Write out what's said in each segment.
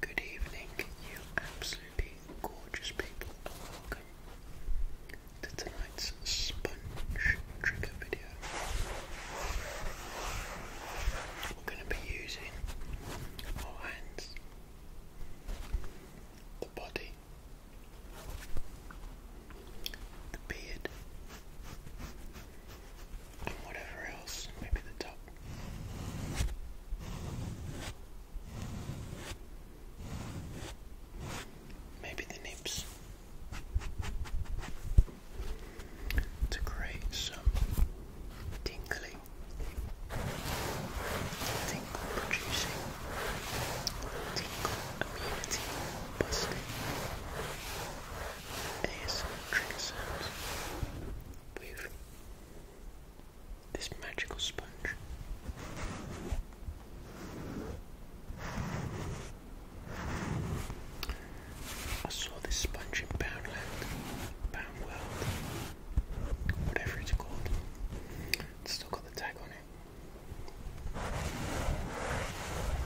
Good evening, you absolutely gorgeous people, and welcome to tonight's sponge trigger video. We're going to be using our hands, the body, the beard, and whatever else, maybe the top. Maybe the nips to create some tingly, tingle producing, tingle immunity busting ASM tricks this magical sponge. I saw this sponge in Poundland, Poundworld, whatever it's called. It's still got the tag on it.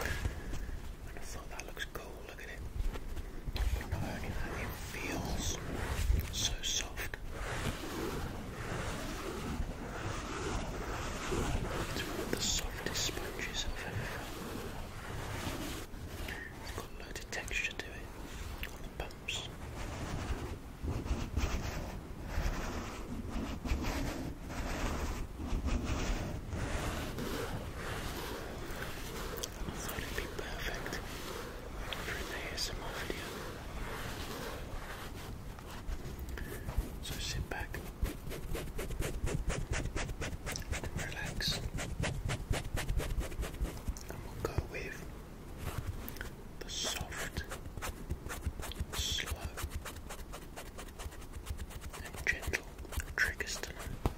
And I thought that looks cool look at it. it feels so soft. It's one of the softest sponges ever It's got a lot of texture to it on the I thought it'd be perfect for an ASMR video. So sit back relax, and we'll go with the soft, slow, and gentle triggers tonight.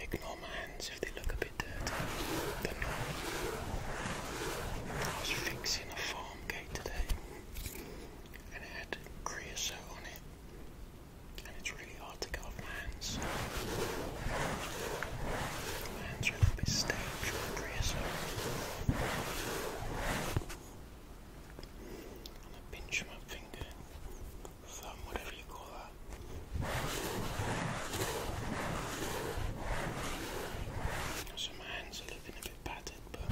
Ignore my hands if they look a bit dirty. I was fixing a farm gate today and it had creosote on it. And it's really hard to get off hands. Lancer to be staged for dresser. On the pinch my finger, thumb, whatever you call that. my hands are looking a bit battered, but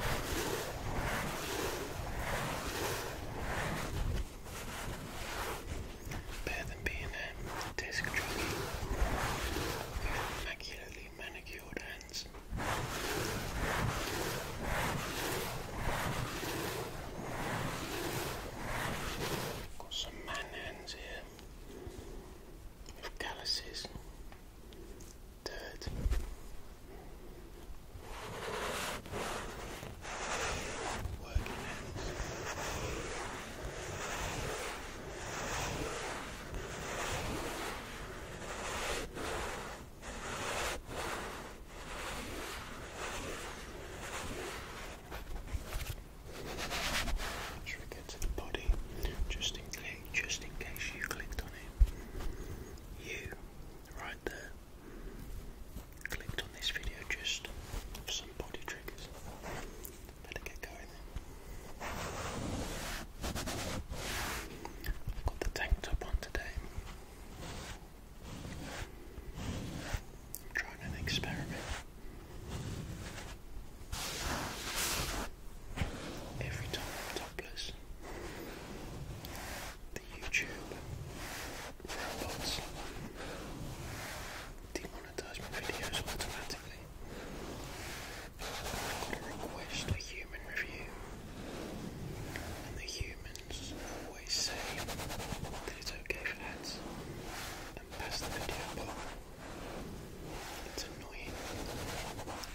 better than being a disc jockey. Immaculately manicured hands. Got some man hands here calluses, dirt. Working hands. Should to the body? Just in case, just in case you clicked on it. You, right there, clicked on this video just for some body triggers. Better get going I've got the tank top on today. trying an experiment. Every time topless, the YouTube robots demonetize my videos automatically request a human review, and the humans always say that it's okay for ads and pass the video It's annoying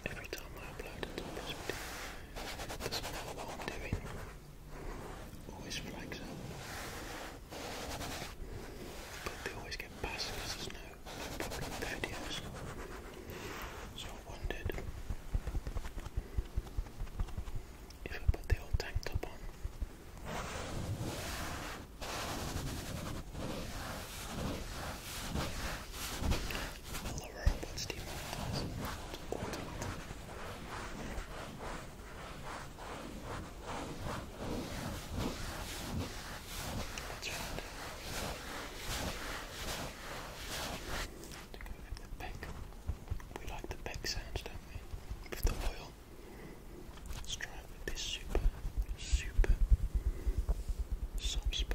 every time I upload it video. It doesn't Always flags up. But they always get passed because there's no so I wondered if I put the old tank top on. Will the robots demonetize or that's right. To go with the peck. We like the peck sounds, don't we? With the oil. Let's try it with this super, super soft sponge.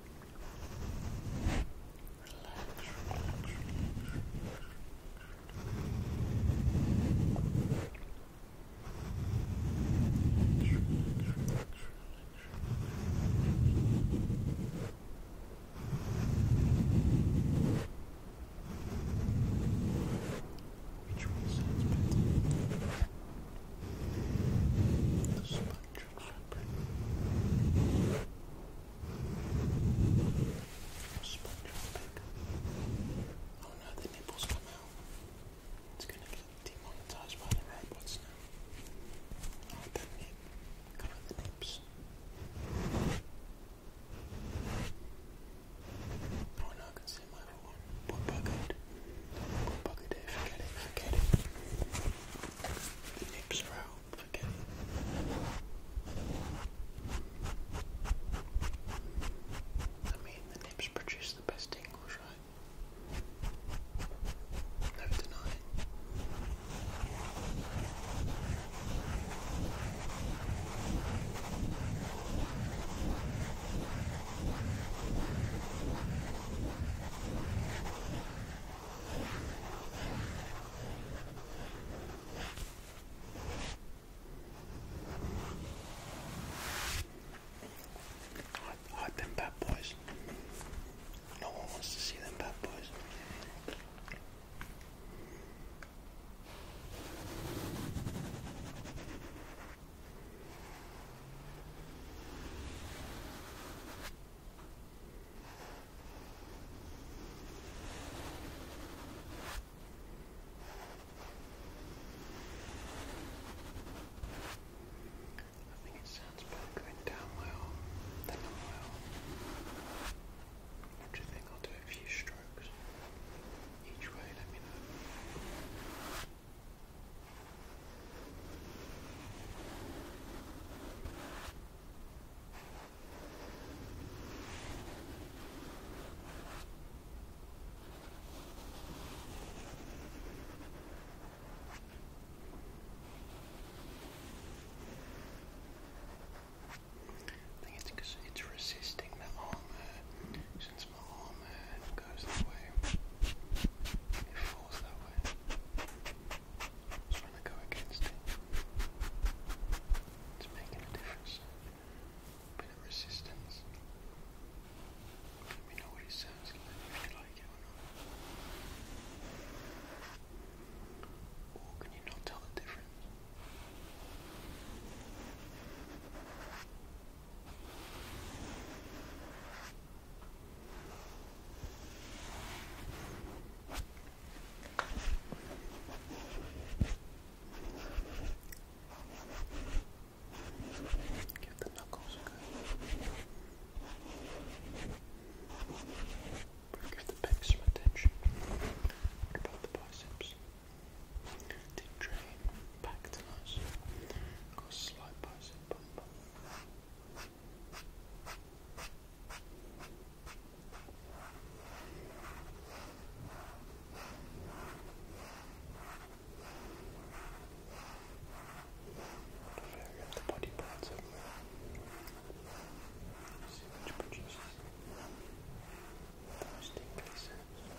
Which one sounds better? The sponge. Sponge on Oh no, the nipples come out. It's gonna get demonetized by the robots now. Oh, that nip. Cover the nips. Oh no, I can see my other one. bucket. Boy bucket day, it, forget it. The hips are out, forget it. I mean, the nips produce the best tingles, right? No denying. I like them bad boys. No one wants to see them bad boys. I think it sounds better going down low than up low. What do you think? I'll do a few strokes each way, let me know. I think it's because it's resisting the armor since my armor goes that way goes I'm trying to go against it. It's making a difference. A resistance. Let know what it sounds like, if you like it or not. Or can you not tell the difference? Get the knuckles good. Get the back some attention. About the biceps. Deep drain back to us. Got slight bicep bump. I got the body parts everywhere. Let's see which produces the most tingly sounds.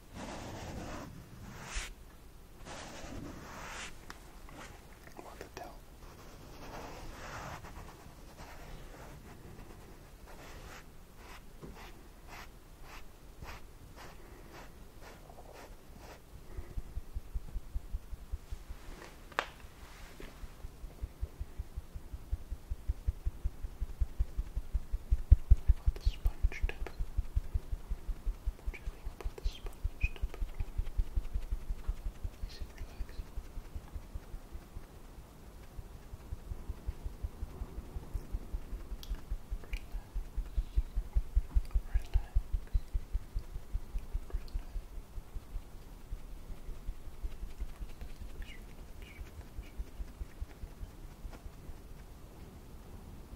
What the hell? Got the sponge tip gently put relax, relax.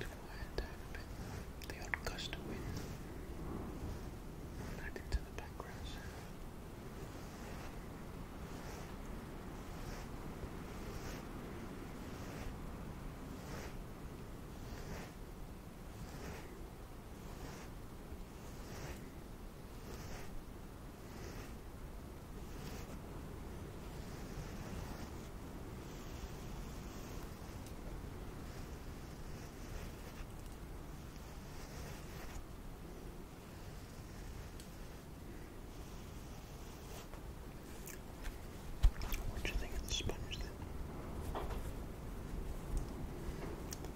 It's quiet down The odd gust of wind. Adding to the background what do you think of the sponge then?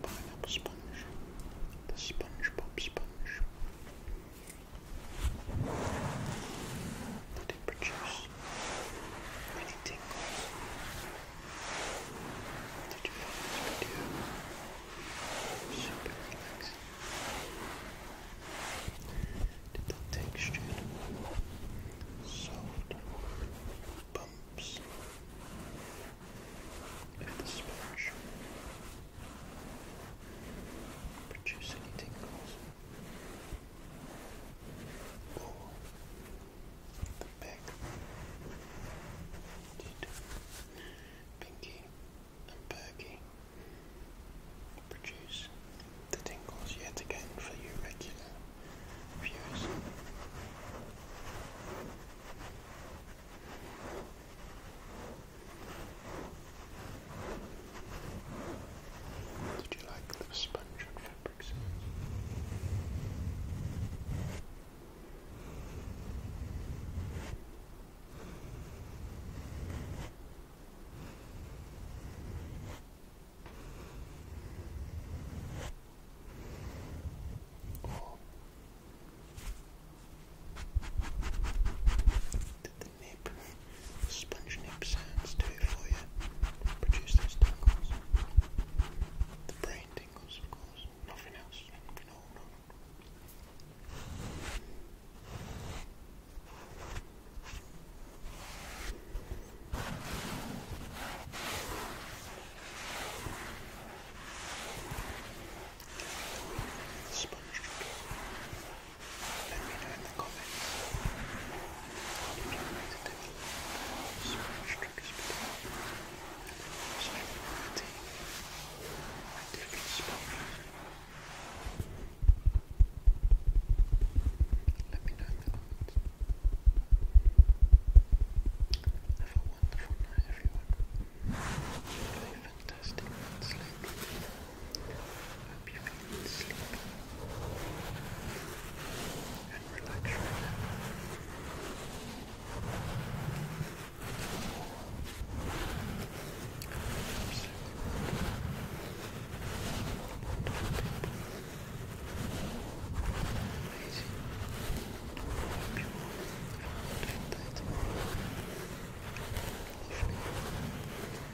pineapple sponge, the SpongeBob sponge to produce many tingles that you find this video super Did the texture soft bumps of the sponge produce any tingles? Ooh. The back. Pinky and Perky produce the tingles yet again for you regular viewers. Did you like the sponge and fabric sounds? sponge nib sounds do it for you, produce those tingles. The brain tingles, of course, nothing else. No, no. Sponge. Let me know in the comments you like to do so much triggers below. So I different spots. Let me know in the comments. Have a wonderful night everyone fantastic night's sleep. Hope you're feeling sleepy and relaxed right now. Amazing. Hope you all have a great day tomorrow. Lovely.